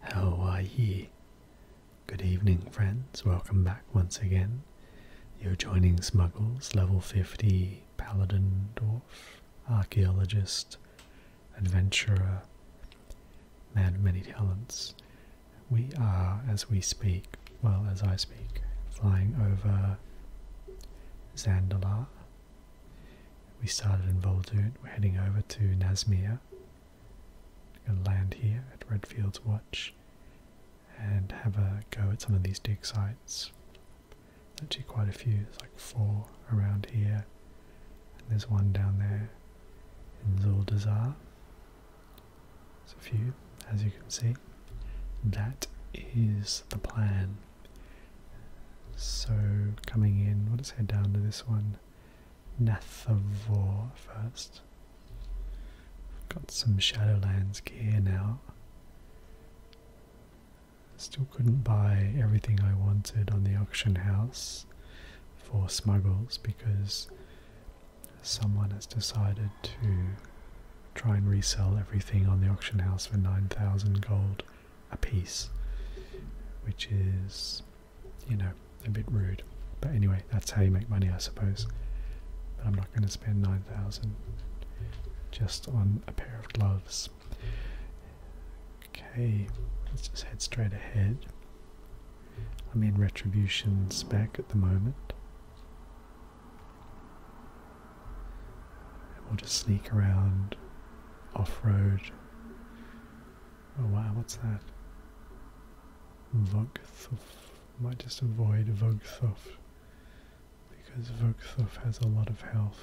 How are ye? Good evening, friends. Welcome back once again. You're joining Smuggles, level 50 Paladin Dwarf, Archaeologist, Adventurer, Man of Many Talents. We are, as we speak, well, as I speak, flying over Zandalar, we started in Boldoot, we're heading over to Nazmir. We're going to land here at Redfield's Watch and have a go at some of these dig sites. There's actually quite a few, there's like four around here, and there's one down there in Zuldazar. There's a few, as you can see. That is the plan. So coming in, let's head down to this one on Nathavor first. Got some Shadowlands gear now. Still couldn't buy everything I wanted on the auction house for smuggles because someone has decided to try and resell everything on the auction house for 9,000 gold a piece, which is you know, a bit rude. But anyway, that's how you make money, I suppose. But I'm not going to spend 9,000 just on a pair of gloves. Okay, let's just head straight ahead. I'm in retribution spec at the moment. And we'll just sneak around off road Oh wow, what's that? Vogthoff. Might just avoid Vogthoff. Because Vogthoff has a lot of health.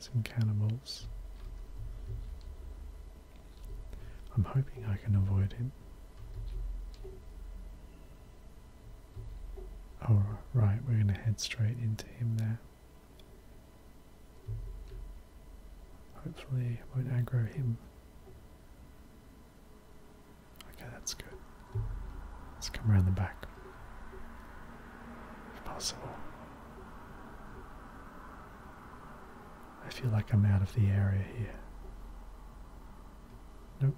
Some cannibals. I'm hoping I can avoid him. Oh, right, we're going to head straight into him there. Hopefully won't aggro him. Okay, that's good. Let's come around the back. If possible. I feel like I'm out of the area here. Nope.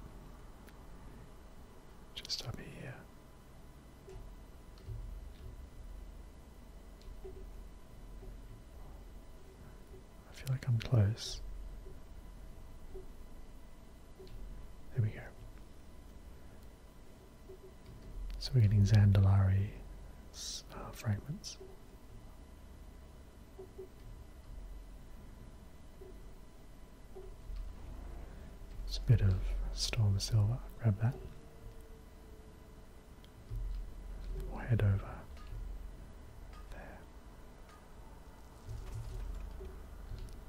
Just up here. I feel like I'm close. There we go. So we're getting Zandalari uh, fragments. It's a bit of storm silver, grab that. We'll head over there.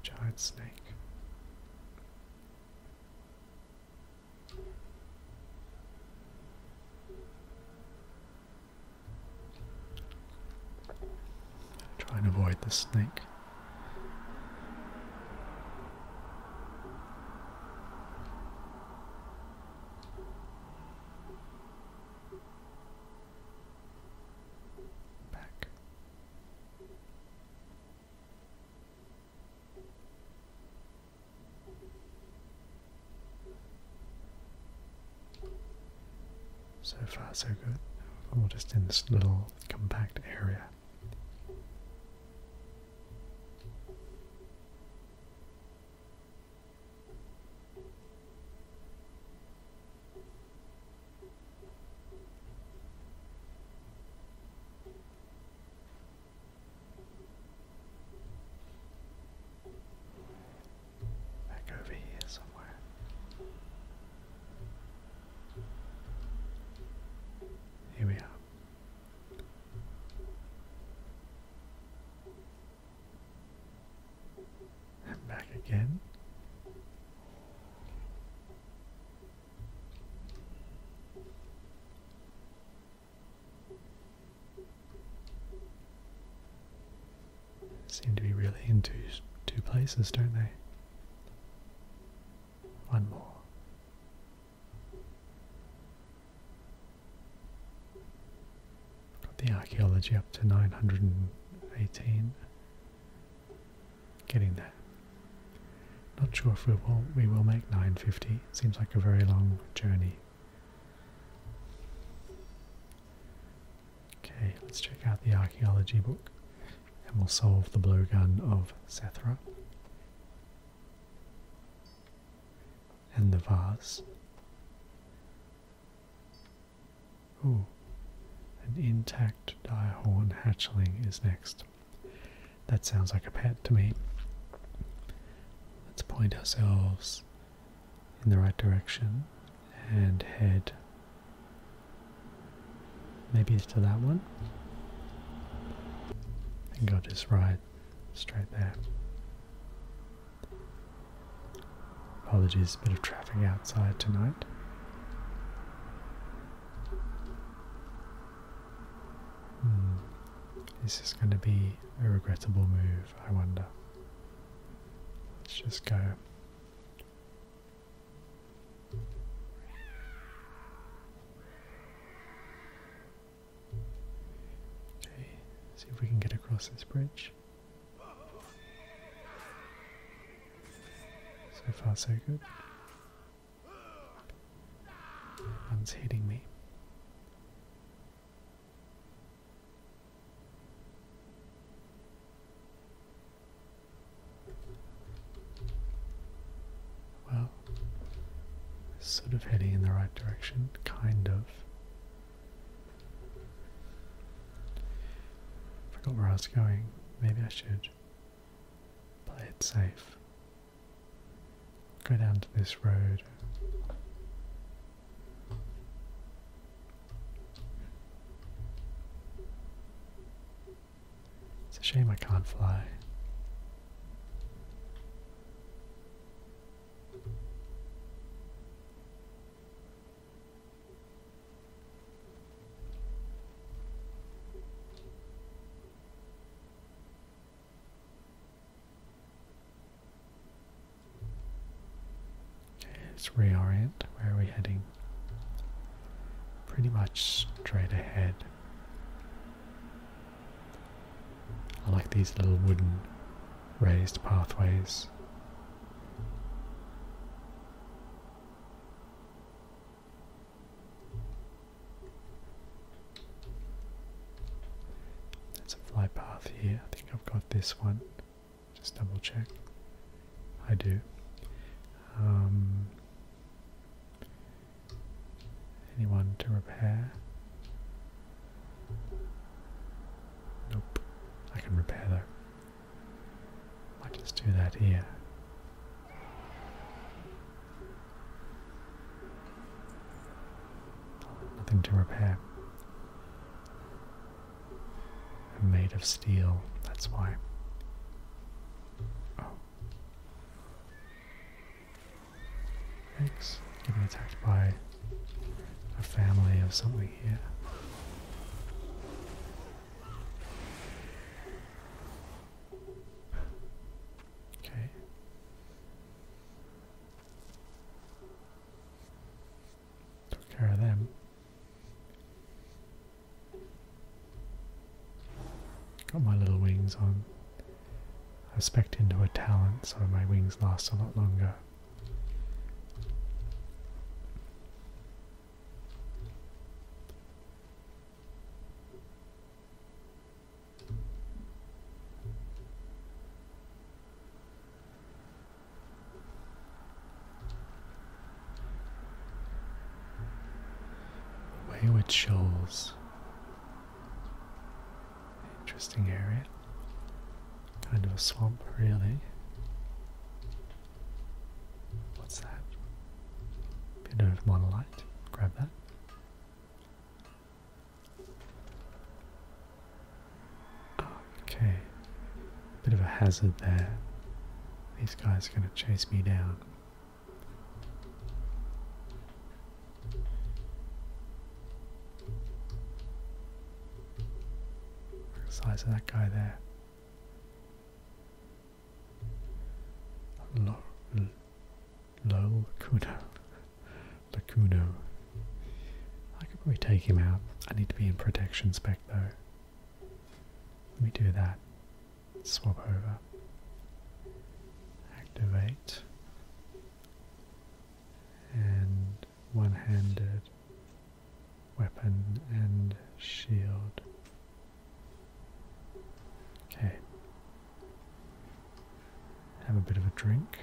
Giant snake. Try and avoid the snake. Back. So far, so good. We're just in this little compact area. Back over here somewhere. Here we are. And back again. Seem to be really in two, two places, don't they? One more. Got the archaeology up to 918. Getting there. Not sure if we will, we will make 950. Seems like a very long journey. Okay, let's check out the archaeology book and we'll solve the blowgun of Sethra and the vase. Ooh, an intact direhorn hatchling is next. That sounds like a pet to me. Let's point ourselves in the right direction and head maybe it's to that one and go this right Straight there. Apologies, bit of traffic outside tonight. Hmm. Is this going to be a regrettable move, I wonder? Let's just go. Okay, see if we can get across this bridge. So far, so good. One's hitting me. Well, Sort of heading in the right direction, kind of. Forgot where I was going. Maybe I should play it safe. Go down to this road. It's a shame I can't fly. Let's reorient. Where are we heading? Pretty much straight ahead. I like these little wooden raised pathways. There's a fly path here. I think I've got this one. Just double check. I do. Um, Anyone to repair? Nope. I can repair though. I just do that here. Nothing to repair. made of steel, that's why. Oh. Yikes. Getting attacked by a family of something here. Okay. Took care of them. Got my little wings on. I specked into a talent so my wings last a lot longer. with Shoals. Interesting area. Kind of a swamp, really. What's that? Bit of monolite. Grab that. Okay. Bit of a hazard there. These guys are going to chase me down size of that guy there. Lo Lol Kuno. Lacuno. I could probably take him out. I need to be in protection spec though. Let me do that. Swap over. Activate and one handed weapon and shield. Okay. Have a bit of a drink.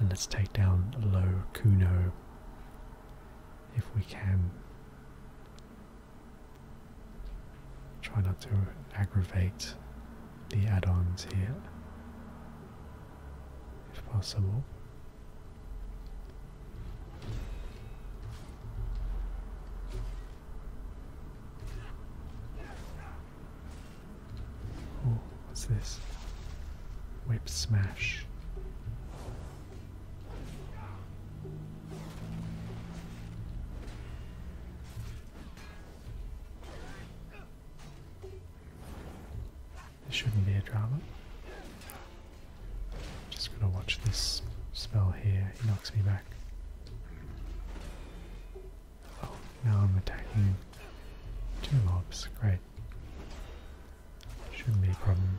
And let's take down Low Kuno if we can. Try not to aggravate the add-ons here, if possible. Oh, what's this? Whip smash. This shouldn't be a drama. Just gotta watch this spell here, he knocks me back. Oh, now I'm attacking two mobs, great. Shouldn't be a problem.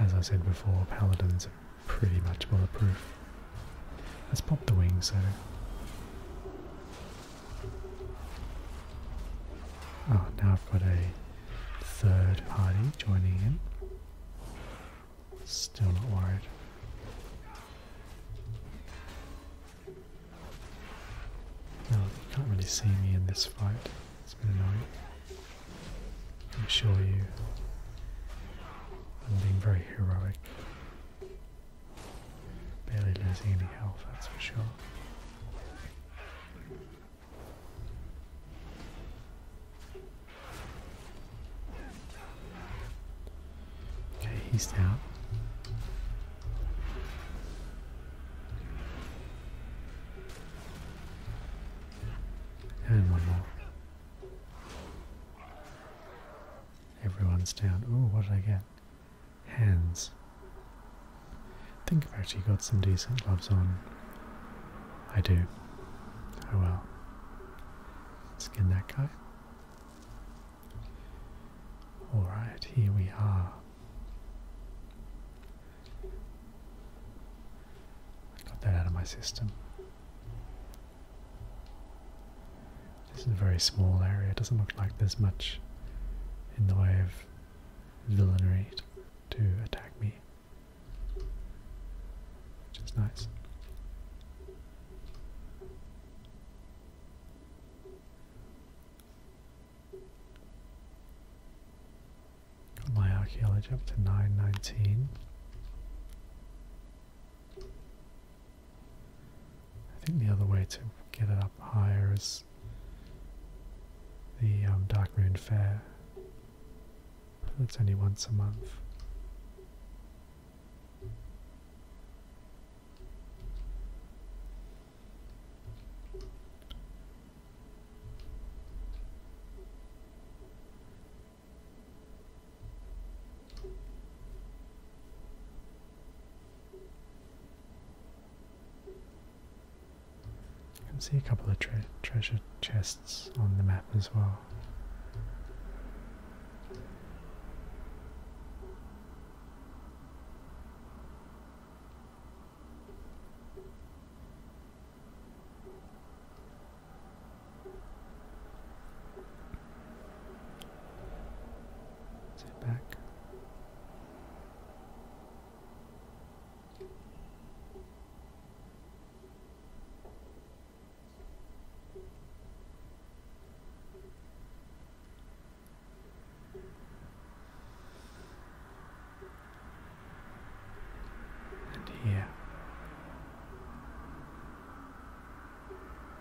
As I said before, paladins pretty much bulletproof. Let's pop the wings though. Oh, now I've got a third party joining in. Still not worried. No, can't really see me in this fight. It's been annoying. I'm sure you. I'm being very heroic. Barely losing any health, that's for sure. Okay, he's down. And one more. Everyone's down. Oh, what did I get? Hands. think I've actually got some decent gloves on. I do. Oh well. Skin that guy. Alright, here we are. got that out of my system. This is a very small area, it doesn't look like there's much in the way of villainy to attack me, which is nice. Got my archaeology up to 919. I think the other way to get it up higher is the um, Dark Moon Fair, but that's only once a month. You can see a couple of treasure chests on the map as well. Sit back. And here,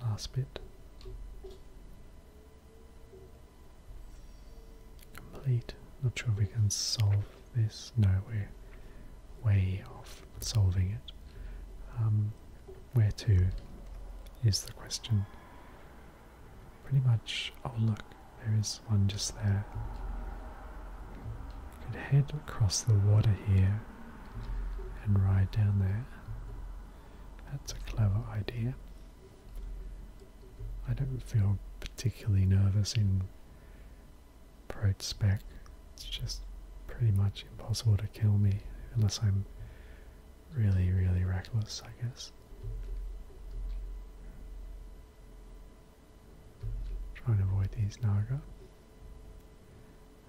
Last bit. Complete. Not sure if we can solve this. No, we're way off solving it. Um, where to is the question. Pretty much, oh look, there is one just there. You could head across the water here and ride down there. That's a clever idea. I don't feel particularly nervous in Prote spec. It's just pretty much impossible to kill me unless I'm really, really reckless, I guess. Trying to avoid these Naga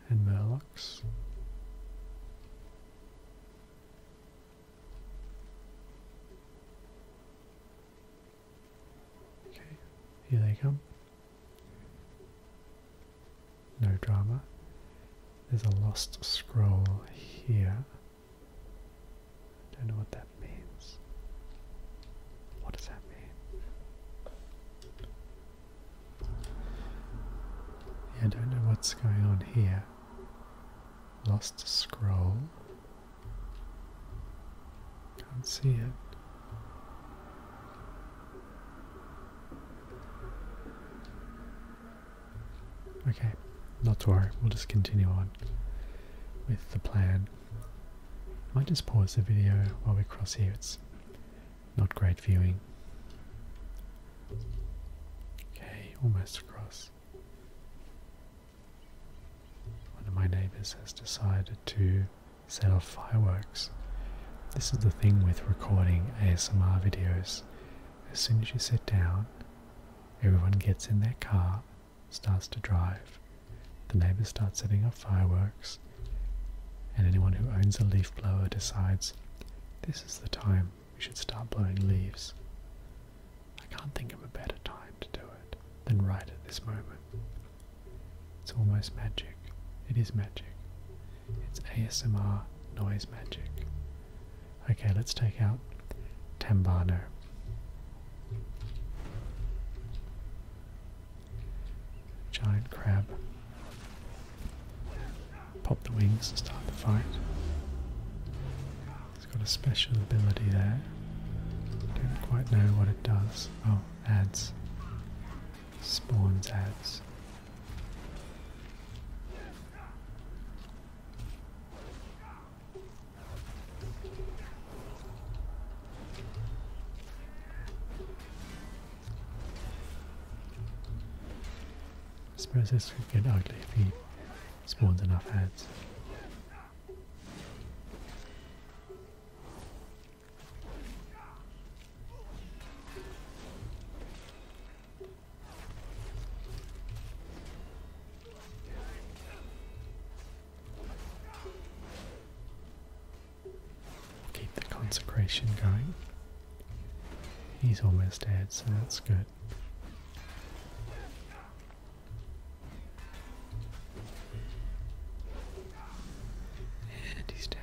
and Murlocs. Okay, here they come. No drama. There's a lost scroll here. Don't know what that means. What does that mean? I don't know what's going on here. Lost scroll. Can't see it. Okay, not to worry, we'll just continue on with the plan. I just pause the video while we cross here. It's not great viewing. Okay, almost across. One of my neighbors has decided to sell fireworks. This is the thing with recording ASMR videos. As soon as you sit down, everyone gets in their car starts to drive. The neighbors start setting up fireworks, and anyone who owns a leaf blower decides this is the time we should start blowing leaves. I can't think of a better time to do it than right at this moment. It's almost magic. It is magic. It's ASMR noise magic. Okay, let's take out Tambano. Giant crab. Pop the wings and start the fight. It's got a special ability there. Don't quite know what it does. Oh, adds. Spawns adds. I suppose could get ugly if he spawns enough heads. Keep the consecration going. He's almost dead, so that's good. And he's down.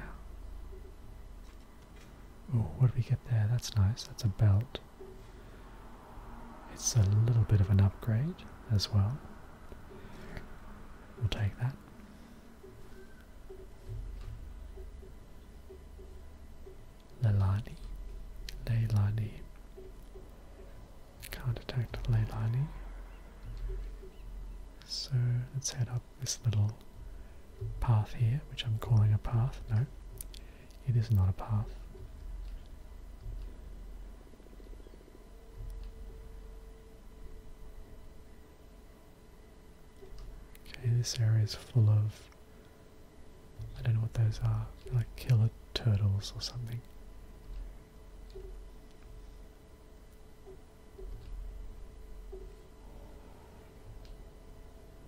Oh, what do we get there? That's nice. That's a belt. It's a little bit of an upgrade as well. We'll take that. Leilani, Leilani. Can't detect Leilani. So let's head up this little path here, which I'm calling a path. No, it is not a path. Okay, this area is full of. I don't know what those are, like killer turtles or something.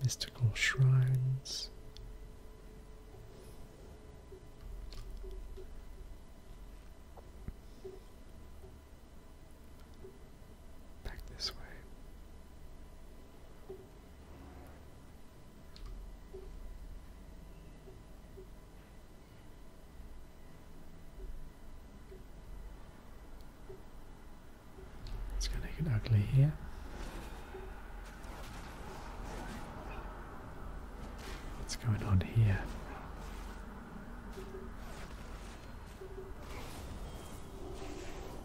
Mystical shrines. Back this way. It's going to get ugly here. What's going on here?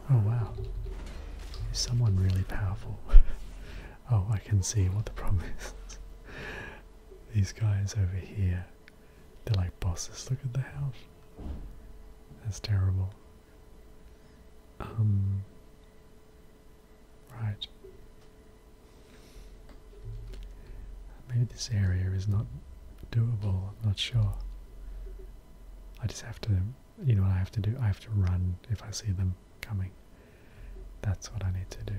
Oh wow. someone really powerful? oh, I can see what the problem is. These guys over here, they're like bosses. Look at the house. That's terrible. Um. Right. Maybe this area is not doable, I'm not sure. I just have to, you know what I have to do? I have to run if I see them coming. That's what I need to do.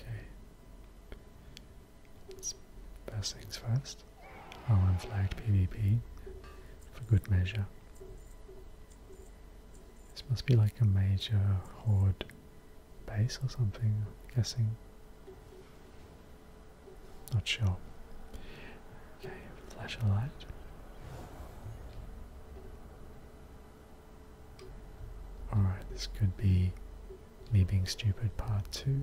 Okay. First things first. I'm flagged PvP for good measure. This must be like a major horde base or something, I'm guessing. Not sure. Okay, flash a light. Alright, this could be me being stupid part 2.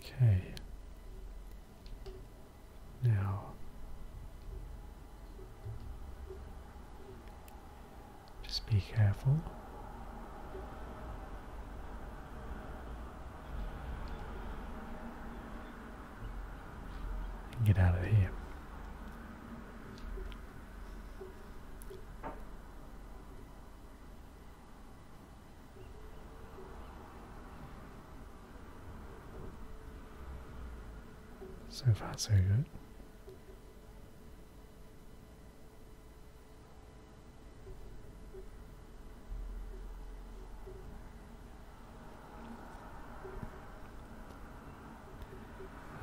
Okay. Now, just be careful. get out of here. So far, so good.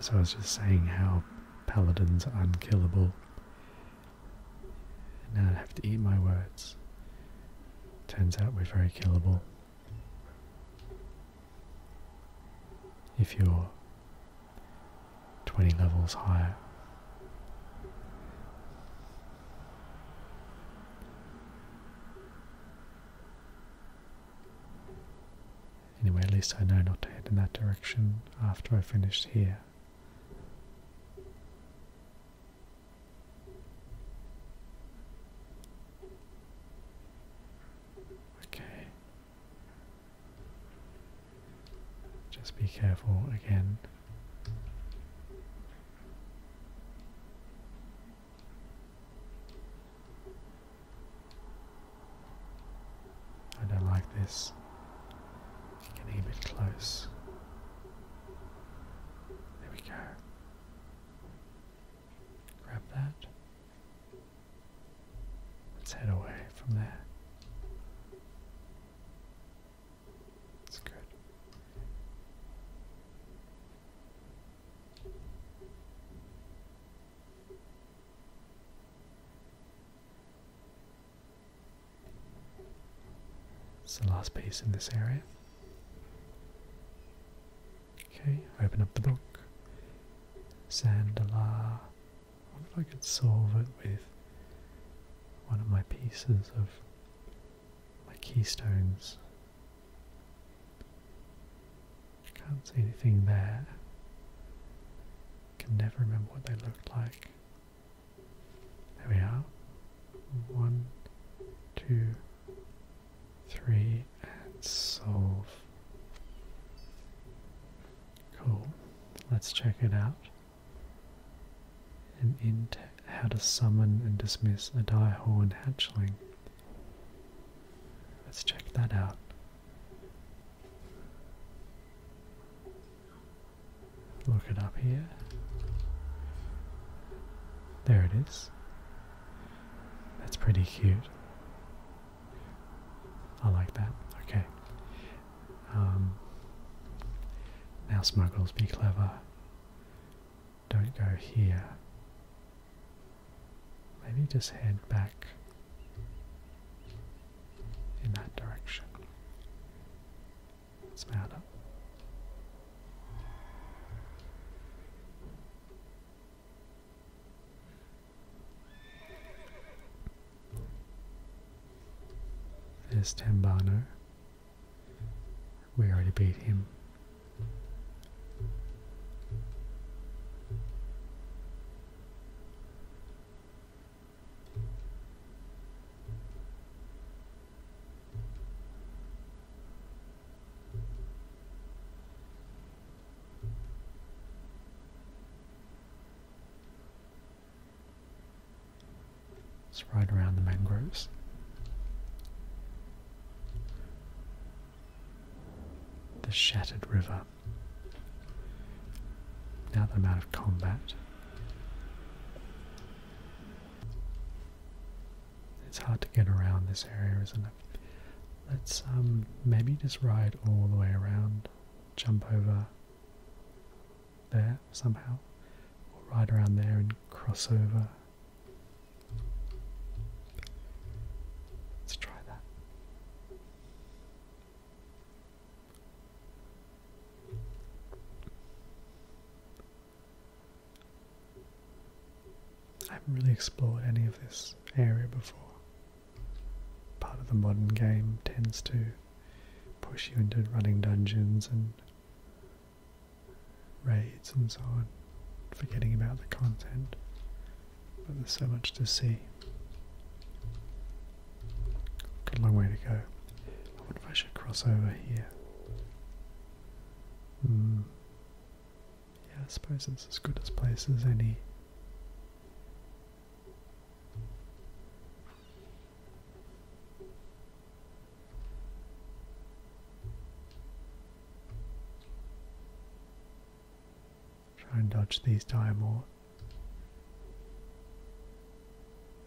So I was just saying how paladins are unkillable now I have to eat my words. Turns out we're very killable. If you're 20 levels higher. Anyway, at least I know not to head in that direction after I finish here. Okay. Just be careful again. I don't like this. Getting a bit close. There we go. Grab that. Let's head away from there. That's good. It's the last piece in this area. Okay, open up the book. Sandalar. I wonder if I could solve it with one of my pieces of my keystones. Can't see anything there. Can never remember what they looked like. There we are. One, two, three, and solve. Cool. Let's check it out. And in how to summon and dismiss a Diehorn hatchling. Let's check that out. Look it up here. There it is. That's pretty cute. I like that. Okay. Um, now, smugglers, be clever. Don't go here. Maybe just head back in that direction. Smälla. This Tembano. We already beat him. It's right around the mangroves. The shattered river. Now that I'm out of combat it's hard to get around this area, isn't it? Let's um, maybe just ride all the way around, jump over there somehow, or ride around there and cross over. Let's try that. I haven't really explored any of this area before. Part of the modern game tends to push you into running dungeons and raids and so on, forgetting about the content. But there's so much to see. Got a long way to go. I wonder if I should cross over here. Hmm. Yeah, I suppose it's as good a place as any. Try and dodge these die more.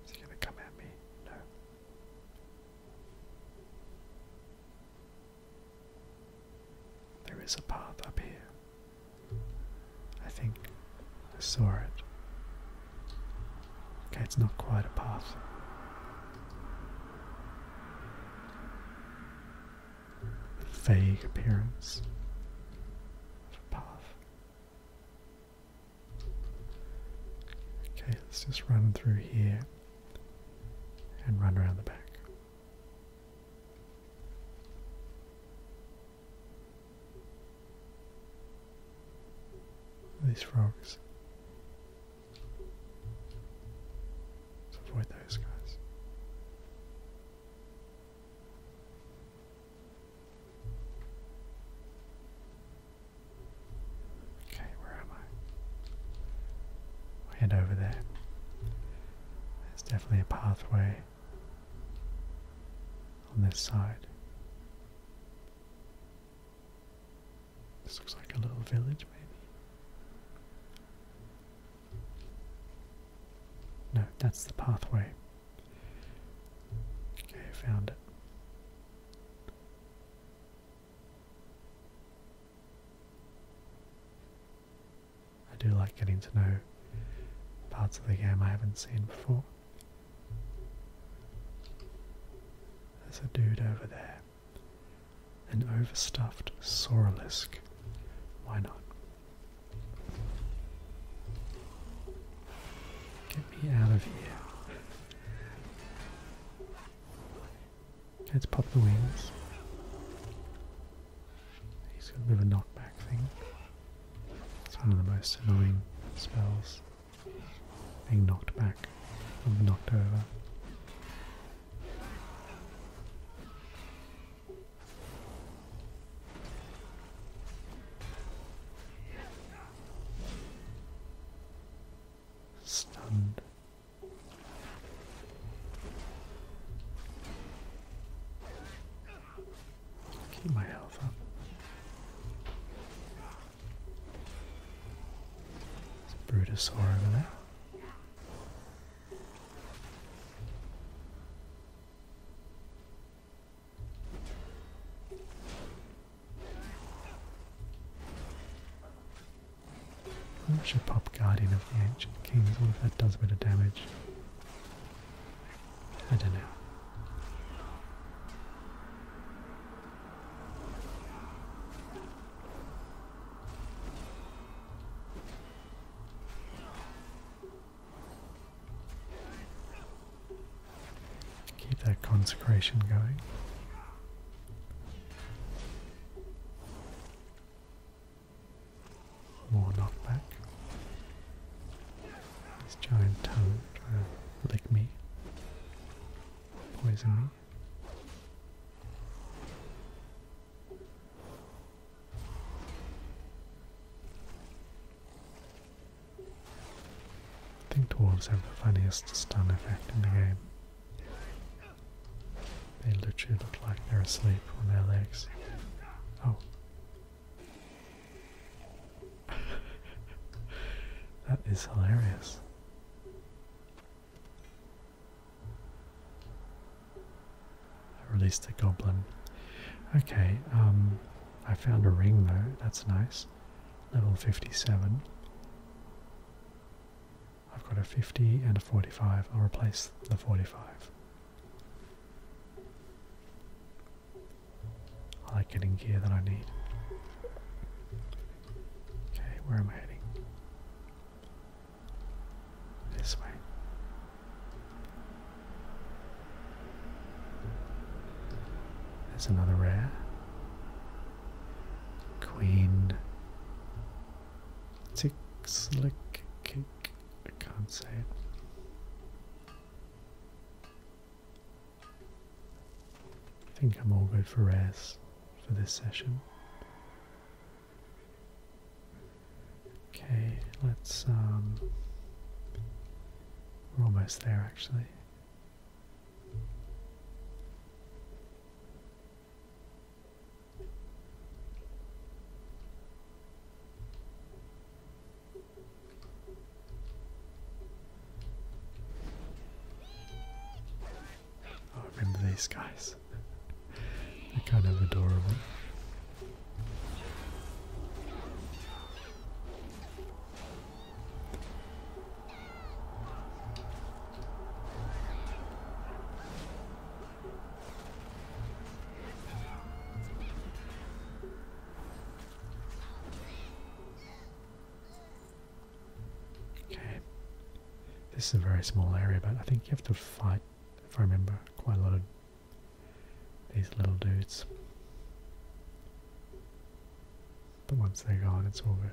Is he gonna come at me? There is a path up here. I think I saw it. Okay, it's not quite a path. vague appearance of a path. Okay, let's just run through here and run around the back. These frogs. avoid those guys. Okay, where am I? head over there. There's definitely a pathway on this side. This looks like a little village, maybe. No, that's the pathway. Okay, found it. I do like getting to know parts of the game I haven't seen before. There's a dude over there. An overstuffed Sauralisk. Why not? Get me out of here. Let's pop the wings. He's got a bit of a knockback thing. It's one of the most annoying spells. Being knocked back or knocked over. Stunned. Keep my health up. There's a over there. I should pop Guardian of the Ancient Kings. What if that does a bit of damage? I don't know. Keep that consecration going. More knockback. This giant tongue lick me, poison me. I think dwarves have the funniest stun effect in the game. They literally look like they're asleep on their legs. Oh. that is hilarious. I released a goblin. Okay, um, I found a ring though, that's nice. Level 57. I've got a 50 and a 45. I'll replace the 45. I like getting gear that I need. Okay, where am I heading? This way. There's another rare. Queen Tick, slick, kick. I can't say it. I think I'm all good for rares for this session. Okay, let's, um, we're almost there actually. Oh, I remember these guys? They're kind of adorable. Okay. This is a very small area, but I think you have to fight, if I remember, quite a lot of these little dudes. But once they're gone, it's over.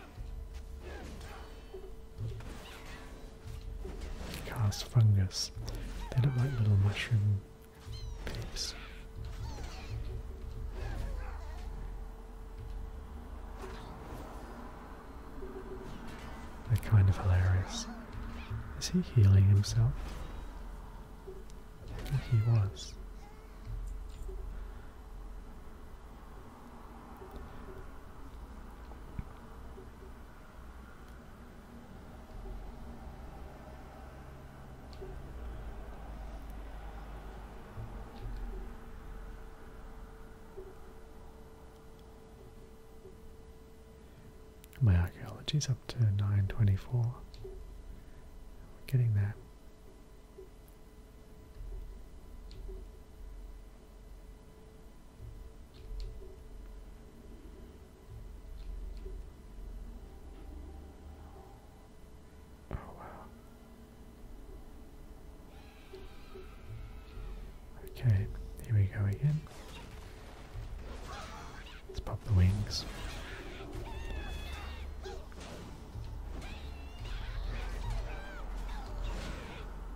Cast fungus. They look like little mushroom pigs. They're kind of hilarious. Is he healing himself? I think he was. My archaeology's up to 924. We're getting there. Oh, wow. Okay, here we go again. Let's pop the wings.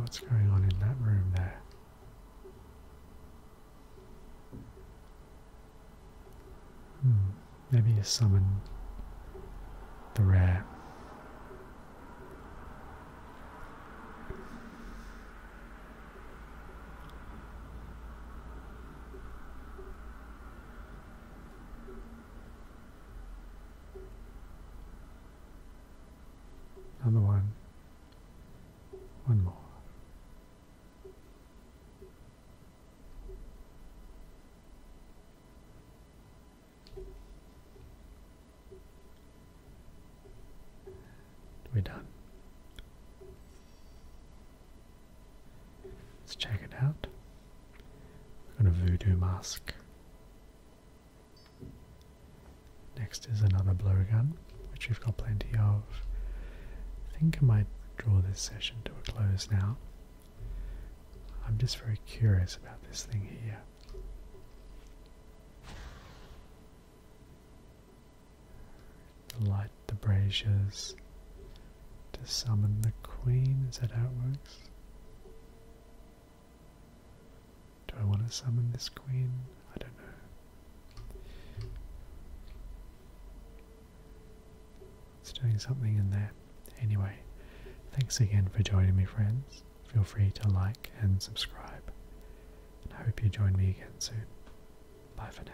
what's going on in that room there? Hmm, maybe you summoning the rare. Another one. One more. We're done. Let's check it out. We've got a voodoo mask. Next is another blowgun, which we've got plenty of. I think I might draw this session to a close now. I'm just very curious about this thing here light the braziers, to summon the queen. Is that how it works? Do I want to summon this queen? I don't know. It's doing something in there. Anyway, thanks again for joining me, friends. Feel free to like and subscribe. And I hope you join me again soon. Bye for now.